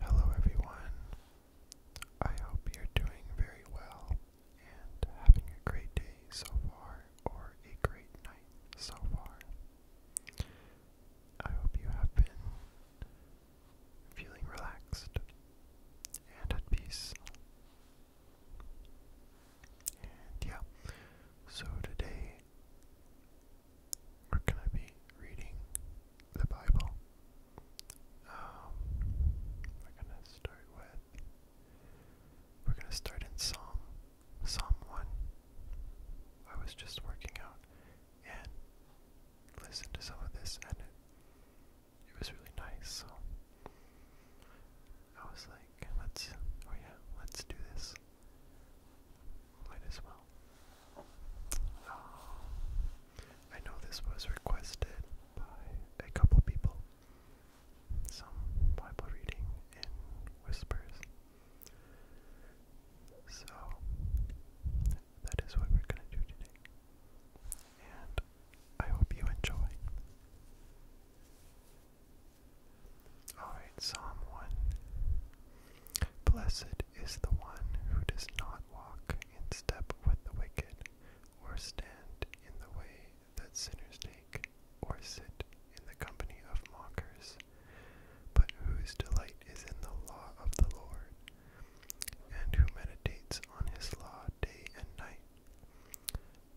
Hello, everyone. I hope you're doing very well and having a great day so far, or a great night so far. I hope you have been feeling relaxed and at peace. yeah, so today or can I be reading the Bible? Um, we're gonna start with. We're gonna start in Psalm, Psalm one. I was just working out and listened to some of this, and it it was really nice. So I was like, let's, oh yeah, let's do this. Might as well. Um, I know this was requested by a couple people. Some Bible reading in whispers. So, that is what we're going to do today. And I hope you enjoy. Alright, Psalm 1. Blessed is the one who does not walk in step with the wicked, or stand in the way that sinners take, or sit in the company of mockers, but whose delight is in the law of the Lord, and who meditates on his law day and night.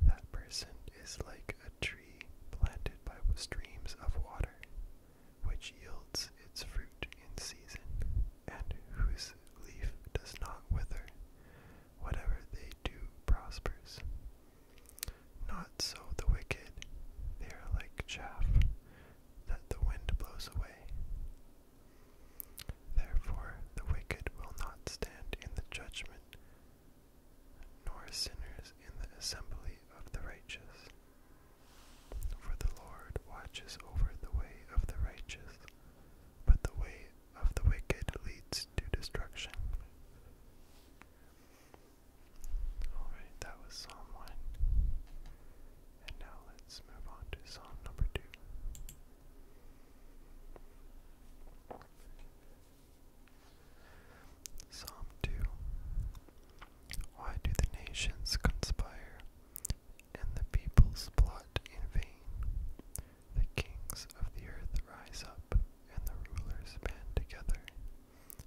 That person is like a tree planted by streams of water, which yields its fruit in season, and whose leaf does not wither. Whatever they do prospers. Not so the wicked, they are like chaff that the wind blows away. Therefore, the wicked will not stand in the judgment, nor sinners in the assembly of the righteous. For the Lord watches over the way of the righteous, but the way of the wicked leads to destruction. Alright, that was Psalm 1. And now let's move on to Psalm number 2. Psalm 2 why do the nations conspire and the peoples plot in vain? The kings of the earth rise up and the rulers band together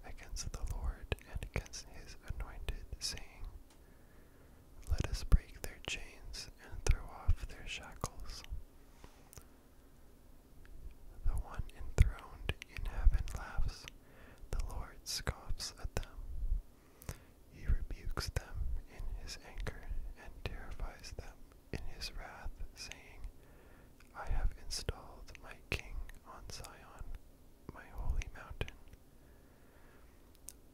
against the Lord and against his anointed, saying, Let us break their chains and throw off their shackles. The one enthroned in heaven laughs. The Lord scoffs at them. He rebukes them in his anger and terrifies them in his wrath, saying, I have installed my king on Zion, my holy mountain.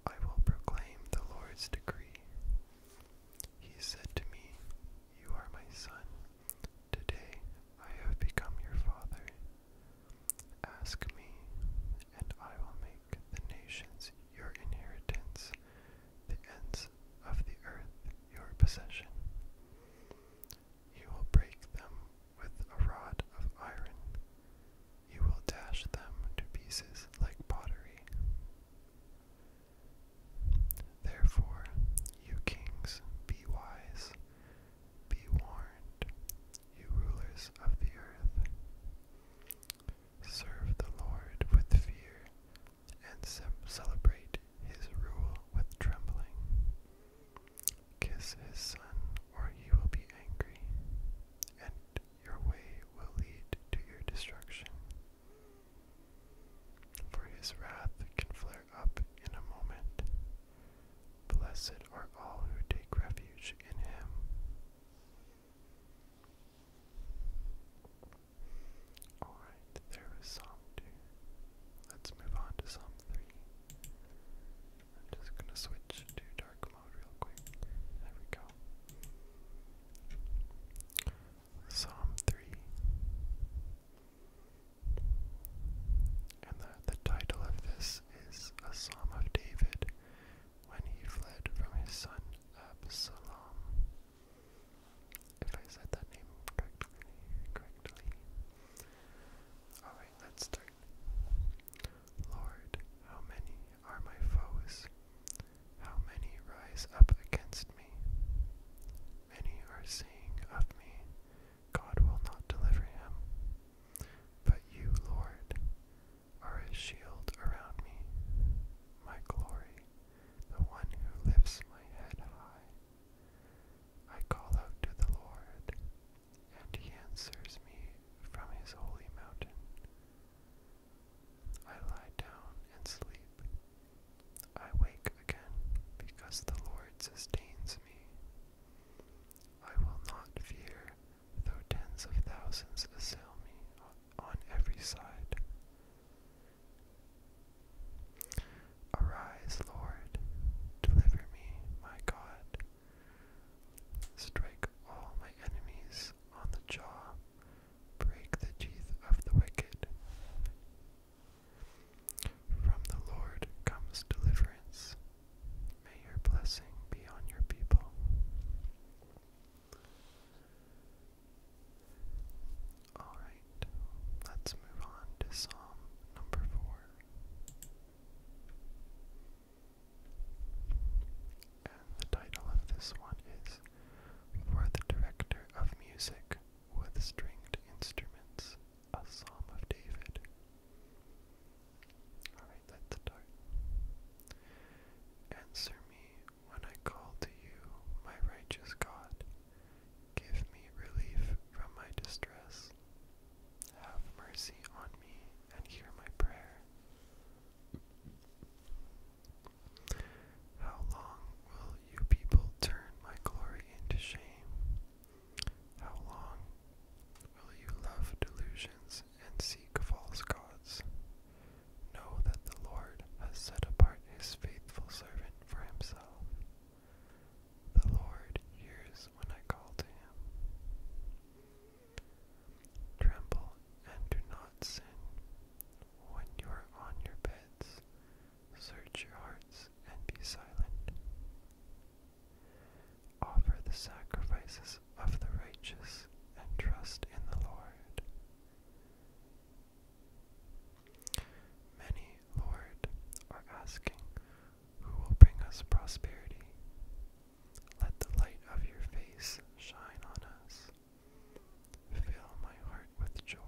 I will proclaim the Lord's decree. He said to me, You are my son. Today I have become your father. Ask me, and I will make the nations your inheritance, the ends of the earth your possession. You will break them with a rod of iron, you will dash them to pieces like pottery. Therefore, you kings, be wise. Be warned, you rulers of the earth. Serve the Lord with fear and celebrate his rule with trembling. Kiss his son, or he will be angry, and your way will lead to your destruction. For his wrath can flare up in a moment. Blessed are all who take refuge in him. Alright, there Psalm 2. Let's move on to Psalm 3. I'm just going to switch to dark mode real quick. There we go. Psalm 3 and the, the title of this is A Psalm of David when he fled from his son Absalom. If I said that name correctly, correctly. Alright, let's start. Lord, how many are my foes? How many rise up against me? Many are saying of me, God will not deliver him. But you, Lord, are a shield around me, my glory, the one who lifts my head high. I call out to the Lord, and he answers me from his holy mountain. I lie down and sleep. I wake again because the Lord sustains me. I will not fear, though tens of thousands assail me on every side. Arise, Lord, deliver me, my God. Strike all my enemies on the jaw, break the teeth of the wicked. From the Lord comes deliverance. May your blessing be on your people. Alright, let's move on to Psalm number 4. And the title of this one is For the Director of Music with Stringed Instruments a Psalm of David. Alright, let's start. Answer me when I call to you, my righteous God. Give me relief from my distress. Have mercy on me and hear my prayer. How long will you people turn my glory into shame? How long will you love delusions and seek false gods? Know that the Lord has set apart his faithful servant for himself. The Lord hears when I call to him. Tremble and do not sin. When you are on your beds, search your hearts and be silent. Offer the sacrifices of the righteous and trust in the Lord. Many, Lord, are asking, Who will bring us prosperity? Let the light of your face shine on us. Fill my heart with joy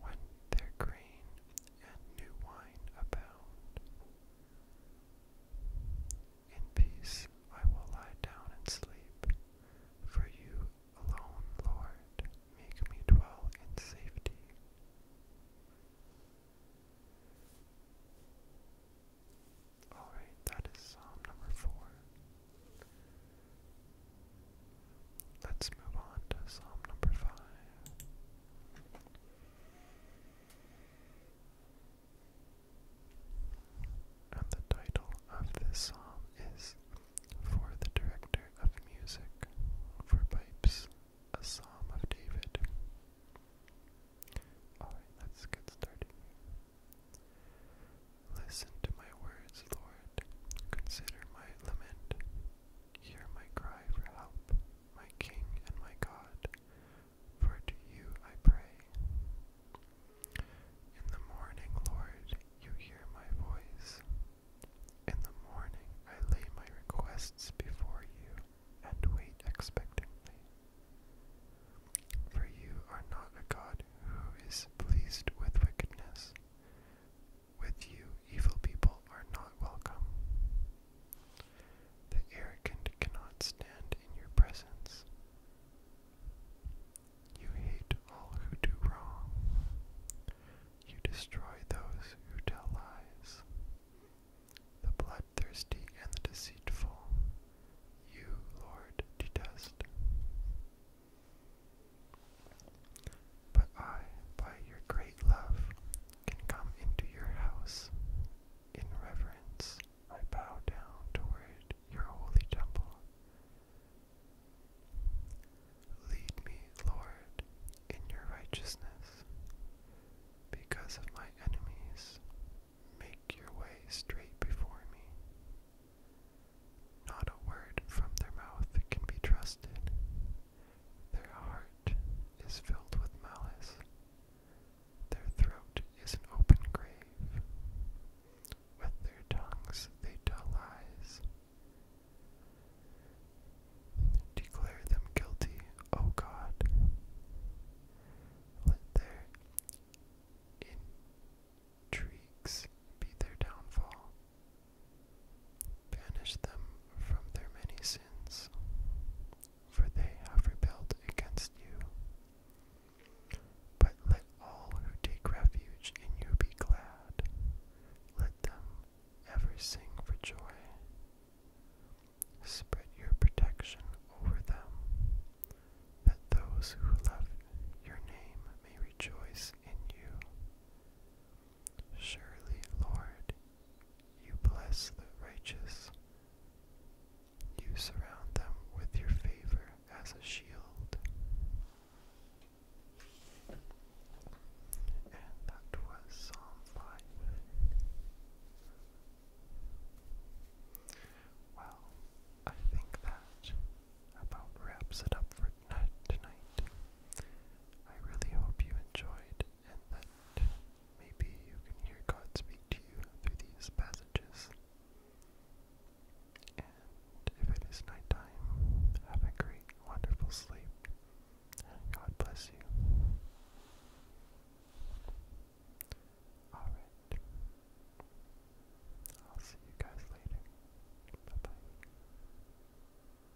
when their grain and new wine abound. In peace I will lie down and sleep, for you alone, Lord, make me dwell in safety. Alright, that is Psalm number four. Let's move on to Psalm number five. And the title of this psalm is For the Director of Music for Pipes, a Psalm of David. Alright, let's get started. Listen to my words, Lord. Consider my lament. Hear my cry for help, my King and my God, for to you I pray. In the morning, Lord, you hear my voice. In the morning, I lay my requests before you and wait expectantly. For you are not a God who is pleased with wickedness, with you, evil people are not welcome. The arrogant cannot stand in your presence. You hate all who do wrong. You destroy those who tell lies. The bloodthirsty and the deceitful, you, Lord, detest. But I, by your great love, can come into your house. In reverence, I bow down toward your holy temple. Lead me, Lord, in your righteousness. Because of my enemies, make your way straight before me. Not a word from their mouth can be trusted, their heart is filled with malice. Their throat is an open grave. With their tongues they tell lies. Declare them guilty, O God. Let their intrigues be their downfall. Banish them from their many sins, for they have rebelled against you. But let all who take refuge in you be glad. Let them ever sing for joy. Spread your protection over them, that those who love your name may rejoice in you. Surely, Lord, you bless the righteous. You surround them with your favor as a shield. And that was Psalm 5. Well, I think that about wraps it up for night tonight. I really hope you enjoyed and that maybe you can hear God speak to you through these passages. And if it is nighttime, have a great, wonderful sleep. God bless you. Alright. I'll see you guys later. Bye bye.